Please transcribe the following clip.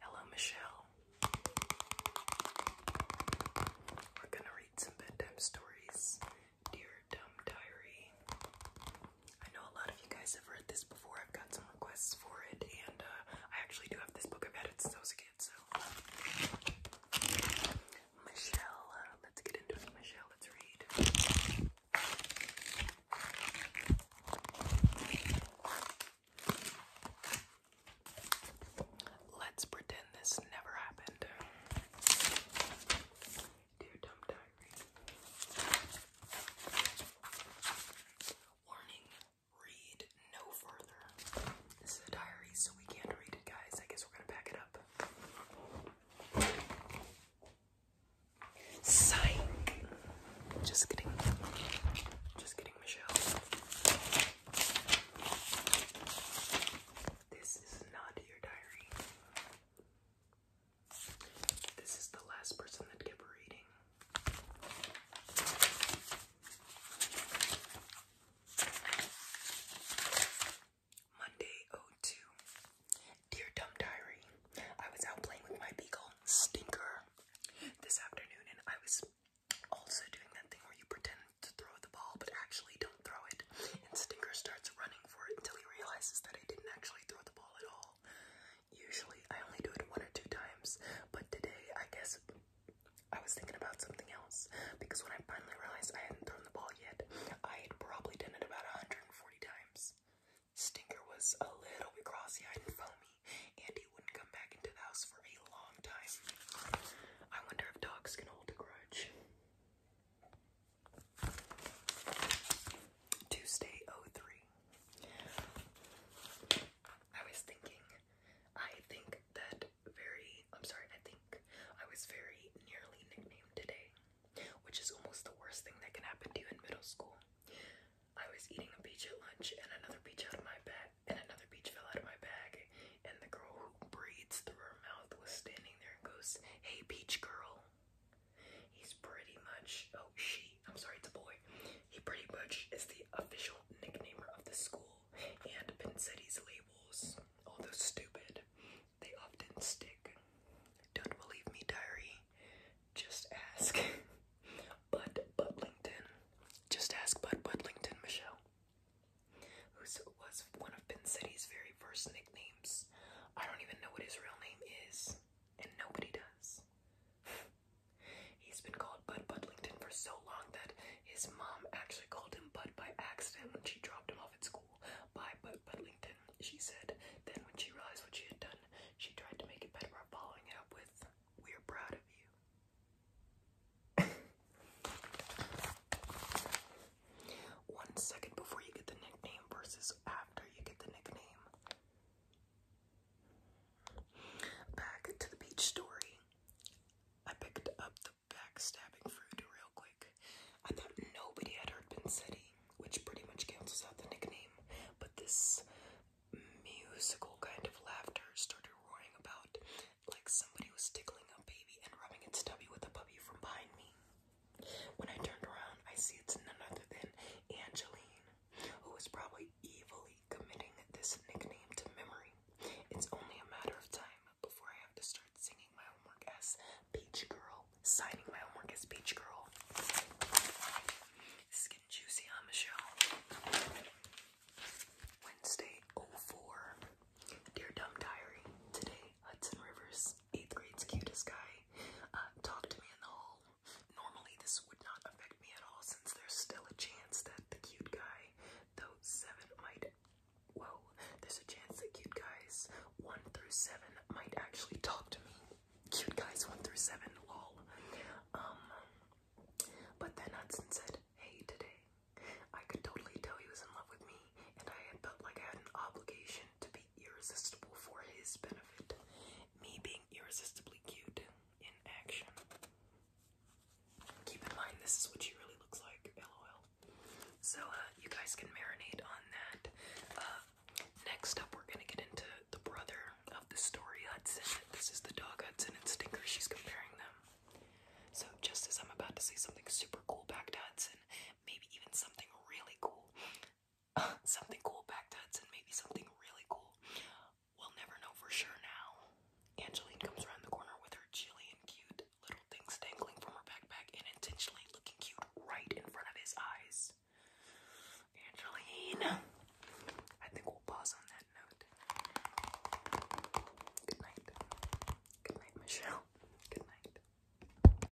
Hello, Michelle. We're gonna read some bedtime stories. Dear Dumb Diary. I know a lot of you guys have read this before. I've got some requests for it, and uh, I actually do have this book. I've had it since I was a kid, so. Michelle, uh, let's get into it. Michelle, let's read. Let's pretend this never happened. Dear Dumb Diary. Warning, read no further. This is a diary, so we can't read it, guys. I guess we're gonna pack it up. Psych. Just kidding. Just kidding, Michelle. This is not your diary. This is the last person that kept reading. Monday 02. Dear Dumb Diary, I was out playing with my beagle, Stinker, this afternoon, and I was also doing that thing where you pretend to throw the ball but actually don't throw it. And Stinker starts running for it until he realizes that I didn't actually throw the ball at all. Usually I only do it one or two times, but today I guess I was thinking about something else because when I finally realized I hadn't thrown the ball yet. I had probably done it about 140 times. Stinker was a little bit crossy-eyed and foamy, and he wouldn't come back into the house for a long time. I wonder if dogs can hold a grudge. Tuesday 03. I was thinking, I think that very, I'm sorry, I think I was very nearly nicknamed today, which is almost the worst thing that can happen to you in middle school. I was eating a peach at lunch and another peach out of my bag, and another peach fell out of my bag, and the girl who breathes through her mouth was standing there and goes, Hey, peach girl. He's pretty much, oh, she, I'm sorry, it's a boy. He pretty much is the official nicknamer of the school and Pincetti's labels, although oh, stupid, they often stick. Don't believe me, diary. Just ask. Bud Budlington. Just ask Bud Budlington, Michelle. Who was one of Pincetti's very first nicknames. I don't even know what his real name is, and nobody does. He's been called Bud Budlington for so long that his mom actually called him Bud by accident when she dropped him off at school. By Bud Budlington, she said. Then, when she realized what she had done, she tried to make it better by following it up with, We're proud of you. One second before you get the nickname versus after you get the nickname. Back to the beach story. I picked up the backstabbing fruit real quick. I thought nobody had heard Pin City, which pretty much cancels out the nickname, but this musical kind of laughter started roaring about like somebody was tickling a baby and rubbing its stubby with a puppy from behind me. When I turned around, I see it's none other than Angeline, who is probably evilly committing this nickname to memory. It's only a matter of time before I have to start singing my homework as Peach Girl, signing my homework as Peach Girl. This is getting juicy, huh, Wednesday 04. Dear Dumb Diary, today Hudson Rivers, 8th grade's cutest guy, uh, to me in the hall Normally, this would not affect me at all since there's still a chance that the cute guy, though seven, might. Whoa, there's a chance that cute guys one through seven might actually talk to me. Cute guys one through seven, all, Um, but then Hudson said, Hey, today. I could totally tell he was in love with me, and I had felt like I had an obligation to be irresistible for his benefit. Me being irresistibly cute in action. Keep in mind, this is what she really looks like, lol. So, uh, you guys can marinate on that. Uh, next up, we're gonna get into the brother of the story, Hudson. This is the dog Hudson and Stinker, she's comparing them. So, just as I'm about to say something super cool back to Hudson, maybe even something really cool, something cool back that's and maybe something really cool. We'll never know for sure now. Angeline comes around the corner with her chilly and cute little things dangling from her backpack and intentionally looking cute right in front of his eyes. Angeline! I think we'll pause on that note. Good night. Good night, Michelle. Good night.